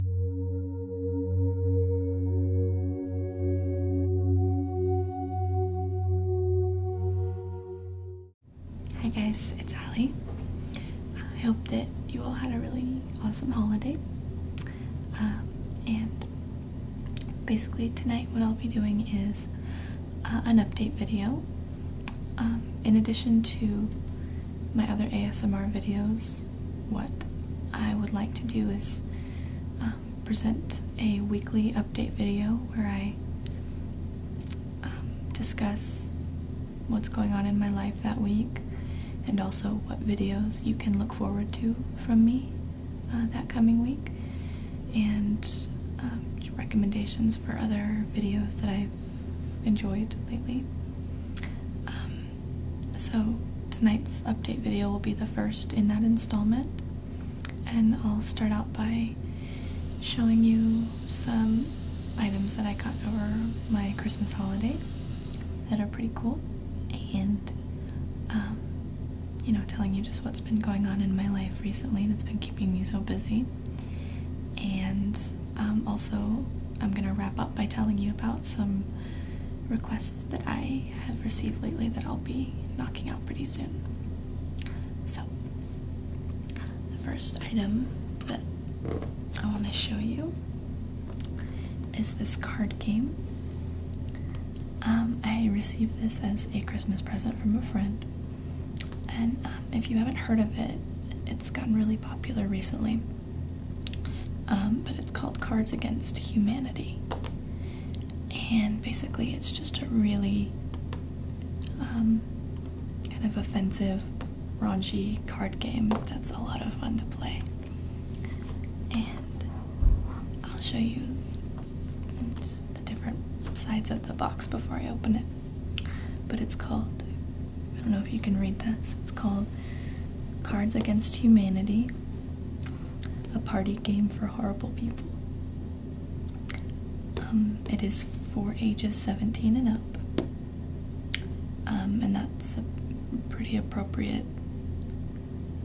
Hi guys, it's Ali. I hope that you all had a really awesome holiday. Um, and basically tonight what I'll be doing is uh, an update video. Um, in addition to my other ASMR videos what I would like to do is um, present a weekly update video where I um, discuss what's going on in my life that week and also what videos you can look forward to from me uh, that coming week and um, recommendations for other videos that I've enjoyed lately so tonight's update video will be the first in that installment, and I'll start out by showing you some items that I got over my Christmas holiday that are pretty cool, and um, you know, telling you just what's been going on in my life recently that's been keeping me so busy. And um, also, I'm gonna wrap up by telling you about some requests that I have received lately that I'll be knocking out pretty soon. So, the first item that I want to show you is this card game. Um, I received this as a Christmas present from a friend, and um, if you haven't heard of it, it's gotten really popular recently. Um, but it's called Cards Against Humanity. And basically, it's just a really um, kind of offensive, raunchy card game that's a lot of fun to play. And I'll show you the different sides of the box before I open it. But it's called, I don't know if you can read this, it's called Cards Against Humanity, a party game for horrible people. Um, it is for ages 17 and up, um, and that's pretty appropriate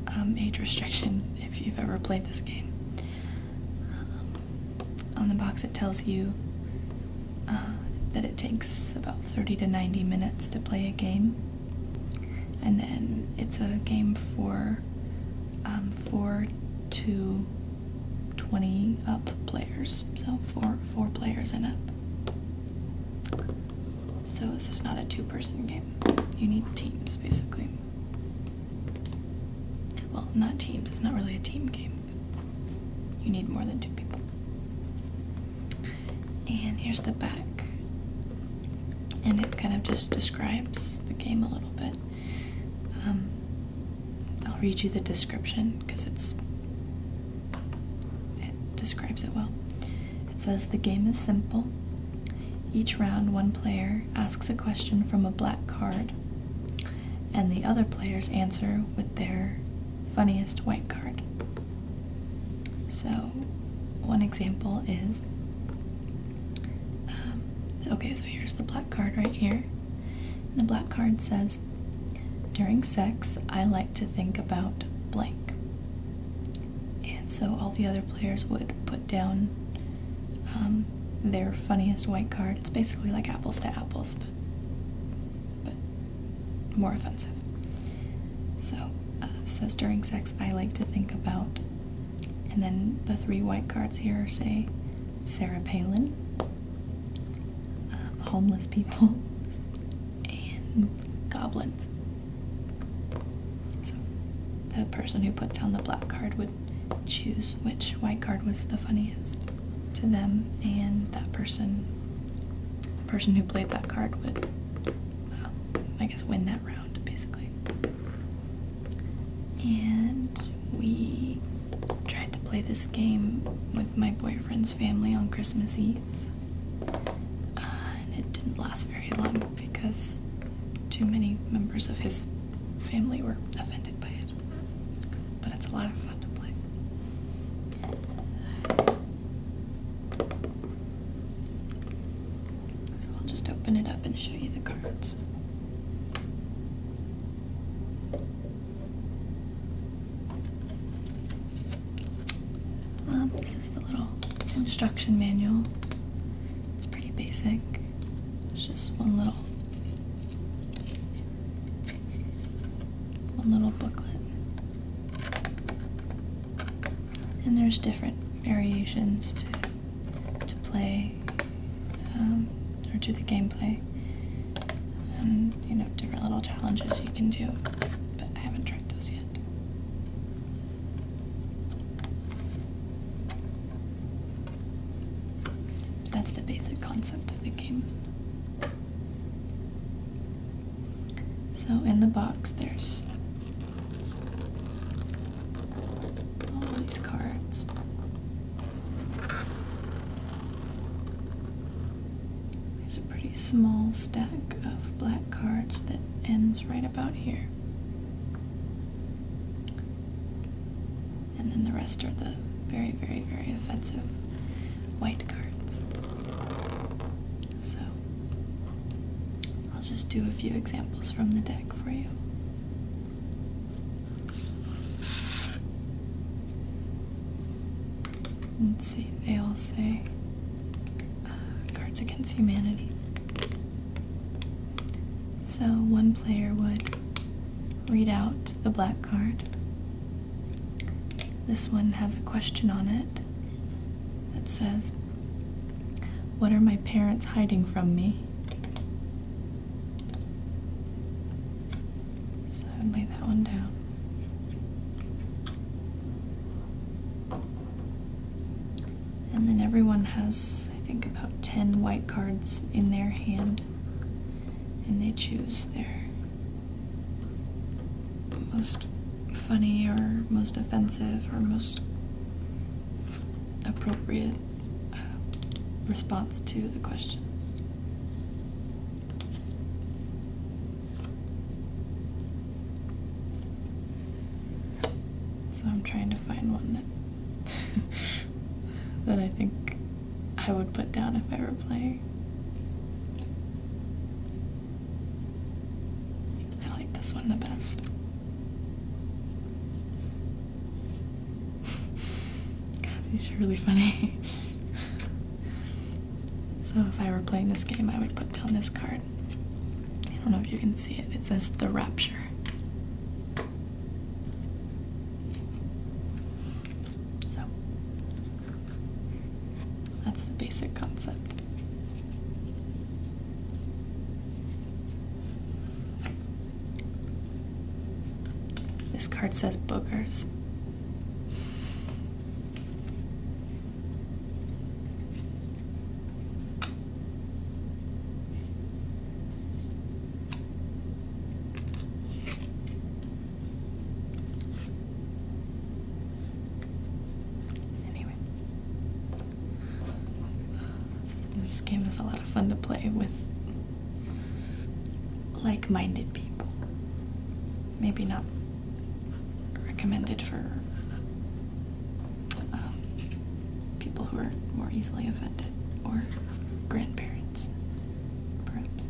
um, age restriction if you've ever played this game. on the box, it tells you uh, that it takes about 30 to 90 minutes to play a game and then it's a game for um, four to twenty up players, so four four players and up. So it's just not a two-person game. You need teams, basically. Well, not teams. It's not really a team game. You need more than two people. And here's the back. And it kind of just describes the game a little bit. Um, I'll read you the description because it's it describes it well. It says the game is simple. Each round, one player asks a question from a black card, and the other players answer with their funniest white card. So, one example is um, okay, so here's the black card right here. And the black card says, During sex, I like to think about blank. And so all the other players would put down um, their funniest white card. It's basically like apples to apples, but, but more offensive. So uh, says during sex, I like to think about. And then the three white cards here say Sarah Palin, uh, homeless people, and goblins. So the person who put down the black card would choose which white card was the funniest to them, and that person, the person who played that card would I guess win that round basically. And we tried to play this game with my boyfriend's family on Christmas Eve, uh, and it didn't last very long because too many members of his family were offended by it. But it's a lot of fun to play. So I'll just open it up and show you the cards. Um, this is the little instruction manual. It's pretty basic. It's just one little one little booklet and there's different variations to, to play um, or to the gameplay and um, you know different little challenges you can do but I haven't tried those yet that's the basic concept of the game so in the box there's all these cards. There's a pretty small stack of black cards that ends right about here. And then the rest are the very, very, very offensive white cards. So I'll just do a few examples from the deck for you. Let's see, they all say uh, Cards Against Humanity. So one player would read out the black card. This one has a question on it, it that says, What are my parents hiding from me? So I'd lay that one down. And then everyone has, I think, about 10 white cards in their hand, and they choose their most funny or most offensive or most appropriate uh, response to the question. So I'm trying to find one that that I think I would put down if I were playing. I like this one the best. God, these are really funny. so if I were playing this game, I would put down this card. I don't know if you can see it. It says The Rapture. So, that's the basic concept. This card says Booker's. Anyway, this game is a lot of fun to play with like minded people. Maybe not recommended for um, people who are more easily offended or grandparents, perhaps.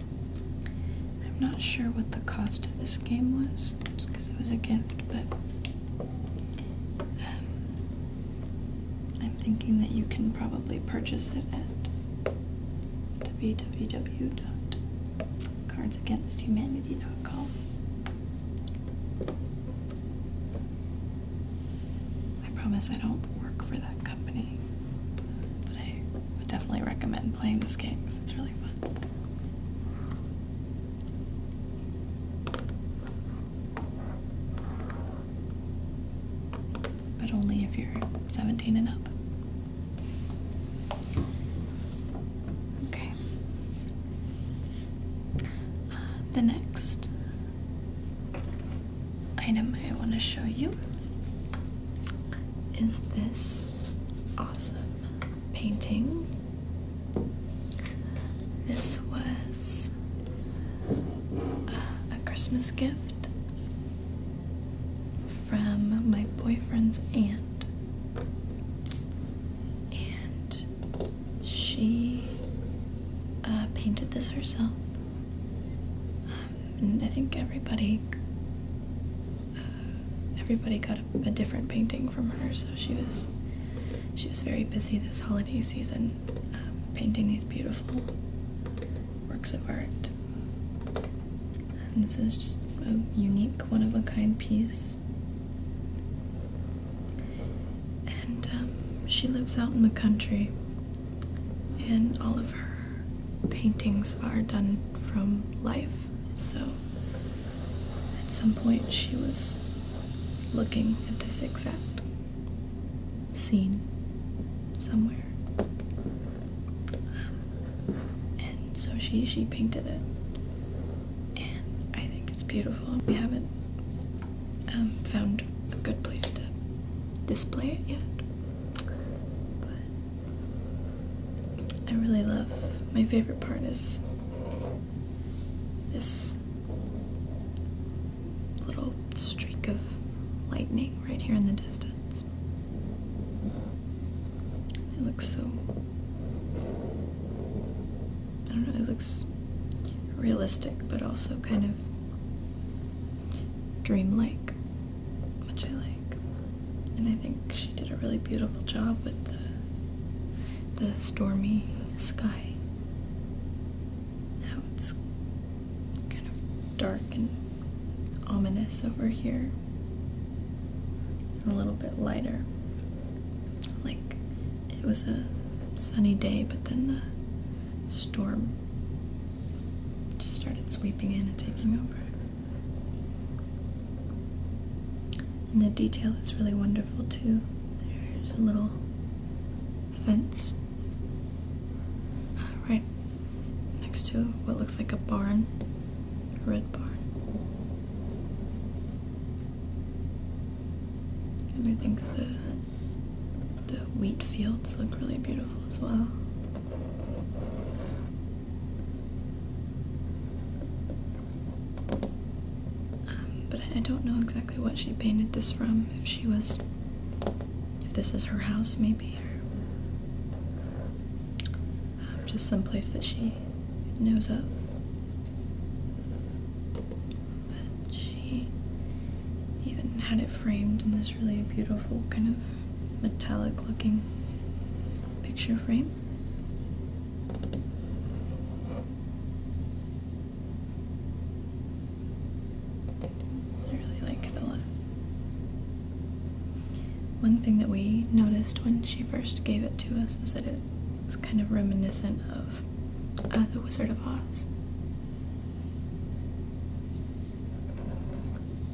I'm not sure what the cost of this game was, because it was a gift, but um, I'm thinking that you can probably purchase it at www.cardsagainsthumanity.com. I promise I don't work for that company. I would definitely recommend playing this game because it's really fun. But only if you're 17 and up. Okay. Uh, the next item I want to show you is this awesome painting. This was uh, a Christmas gift from my boyfriend's aunt, and she uh, painted this herself. Um, and I think everybody uh, everybody got a, different painting from her. So she was she was very busy this holiday season um, painting these beautiful works of art. And this is just a unique, one of a kind piece. And um, she lives out in the country and all of her paintings are done from life. So at some point she was looking at this exact scene somewhere. Um, and so she she painted it. And I think it's beautiful. We haven't um, found a good place to display it yet. But I really love. My favorite part is this little streak of lightning right here in the distance. It looks so. I don't know, it looks realistic but also kind of dreamlike which I like. And I think she did a really beautiful job with the, the stormy sky. Now it's kind of dark and ominous over here. And a little bit lighter. Like it was a sunny day, but then the storm just started sweeping in and taking over. And the detail is really wonderful too. There's a little fence uh, right next to what looks like a barn, a red barn. And I think the the wheat fields look really beautiful as well. Um, but I don't know exactly what she painted this from. If she was. If this is her house, maybe, or. Um, just some place that she knows of. But she even had it framed in this really beautiful kind of metallic looking picture frame. I really like it a lot. One thing that we noticed when she first gave it to us was that it was kind of reminiscent of The Wizard of Oz.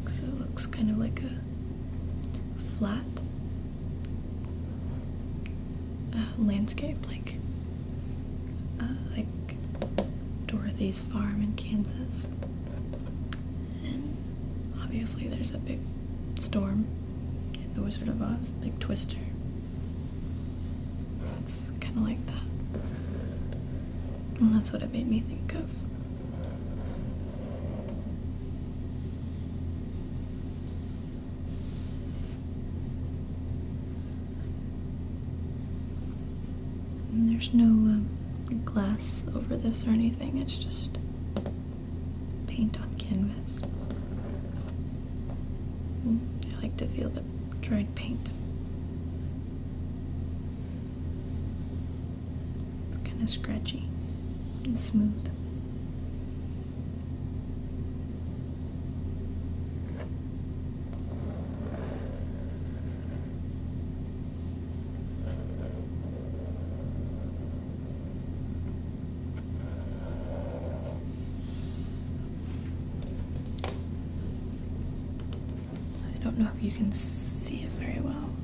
Because it looks kind of like a flat uh, landscape, like uh, like Dorothy's farm in Kansas. And obviously, there's a big storm in The Wizard of Oz, big twister. So it's kind of like that. And that's what it made me think of there's no um, glass over this or anything, it's just paint on canvas. Mm, I like to feel the dried paint. It's kind of scratchy and smooth. I don't know if you can see it very well.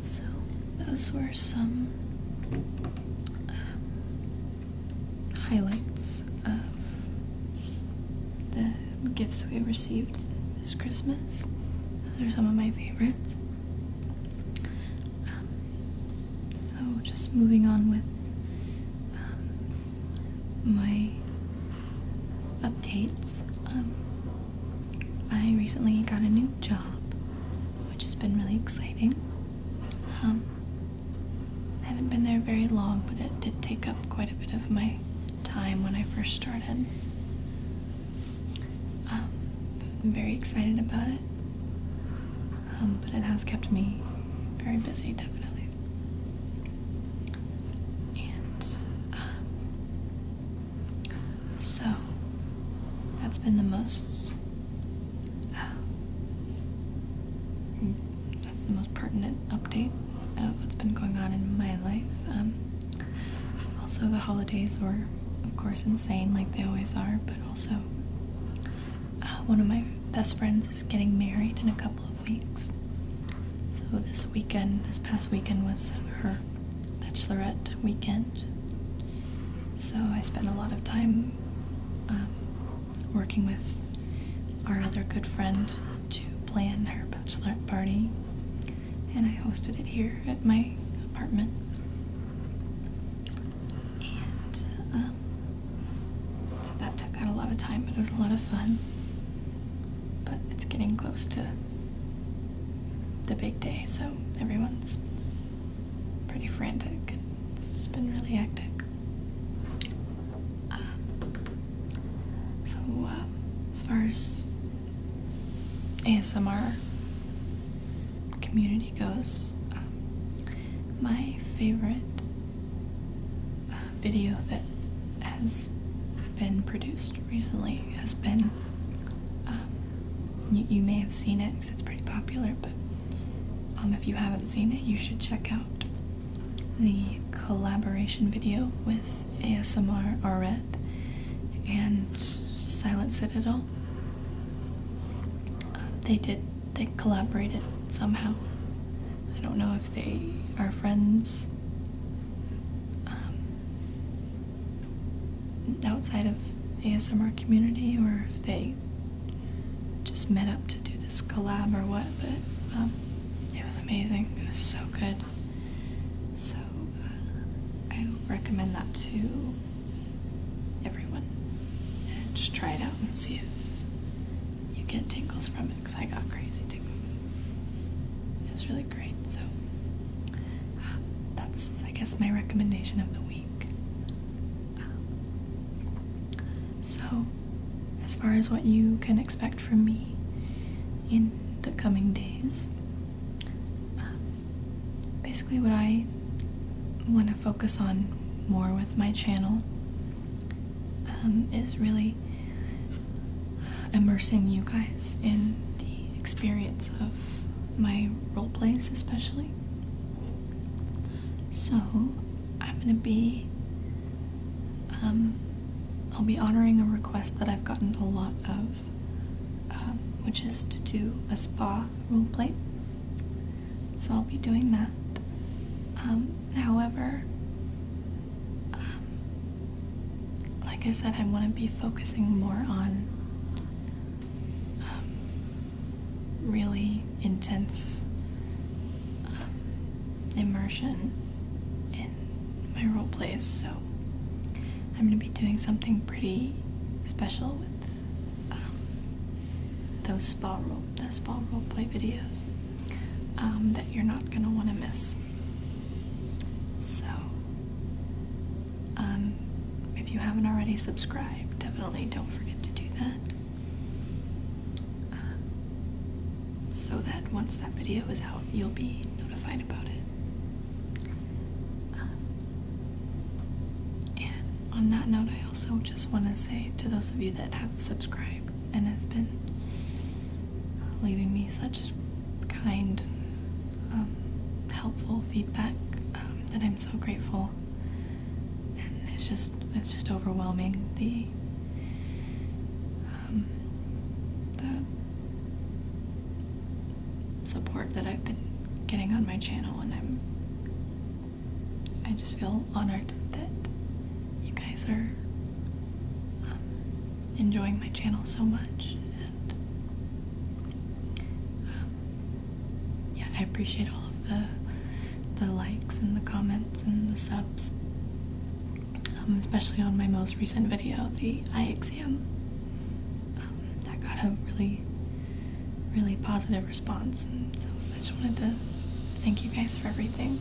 So, those were some um, highlights of the gifts we received this Christmas. Those are some of my favorites. Um, so, just moving on with um, my updates. Um, I recently got a new job, which has been really exciting. Um, I haven't been there very long, but it did take up quite a bit of my time when I first started. I'm very excited about it. Um, but it has kept me very busy, definitely. And um, so that's been the most. Um, that's the most pertinent update of what's been going on in my life. also, the holidays were, of course, insane like they always are, but also uh, one of my best friends is getting married in a couple of weeks. So this weekend, this past weekend was her bachelorette weekend. So I spent a lot of time um, working with our other good friend to plan her bachelorette party. And I hosted it here at my apartment. And um, so that took out a lot of time, but it was a lot of fun. But it's getting close to the big day, so everyone's pretty frantic. It's been really hectic. Um, so, um, as far as ASMR community goes, my favorite uh, video that has been produced recently has been. Um, you, you may have seen it because it's pretty popular, but um, if you haven't seen it, you should check out the collaboration video with ASMR Arret and Silent Citadel. Uh, they did, they collaborated somehow I don't know if they are friends um, outside of ASMR community or if they just met up to do this collab or what, but um, it was amazing. It was so good. So uh, I recommend that to everyone just try it out and see if you get tingles from it because I got crazy tingles. It was really great. So that's, I guess, my recommendation of the week. Um, so, as far as what you can expect from me in the coming days, um, basically what I want to focus on more with my channel um, is really uh, immersing you guys in the experience of my role plays, especially. So I'm going to be. Um, I'll be honoring a request that I've gotten a lot of, um, which is to do a spa role play so I'll be doing that. Um, however, um, like I said, I want to be focusing more on um, really intense immersion in my role plays, so I'm going to be doing something pretty special with those spa role, the spa role play videos. Um, that you're not going to want to miss. So, um, if you haven't already subscribed, definitely don't forget to do that. Um, so that once that video is out, you'll be notified about it. and on that note, I also just want to say to those of you that have subscribed, and have been leaving me such kind, um, helpful feedback um, that I'm so grateful. And it's just it's just overwhelming the um, the support that I've been getting on my channel, and I'm I just feel honored that you guys are um, enjoying my channel so much, and um, yeah, I appreciate all of the the likes and the comments and the subs, um, especially on my most recent video, the eye exam. that got a really, really positive response, and so I just wanted to thank you guys for everything.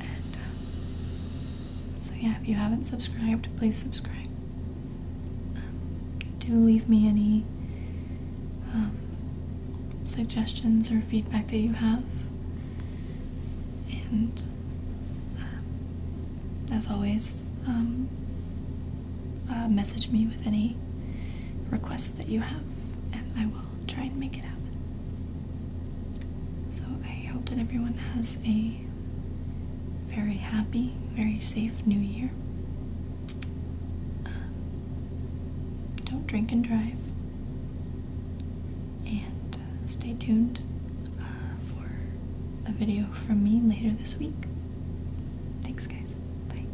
Uh, so, yeah, if you haven't subscribed, please subscribe. Um, do leave me any um, suggestions or feedback that you have. And um, as always, uh, message me with any requests that you have, and I will try and make it happen. So I hope that everyone has a very happy, very safe new year. Um, don't drink and drive. And uh, stay tuned uh, for a video from me later this week. Thanks, guys. Bye.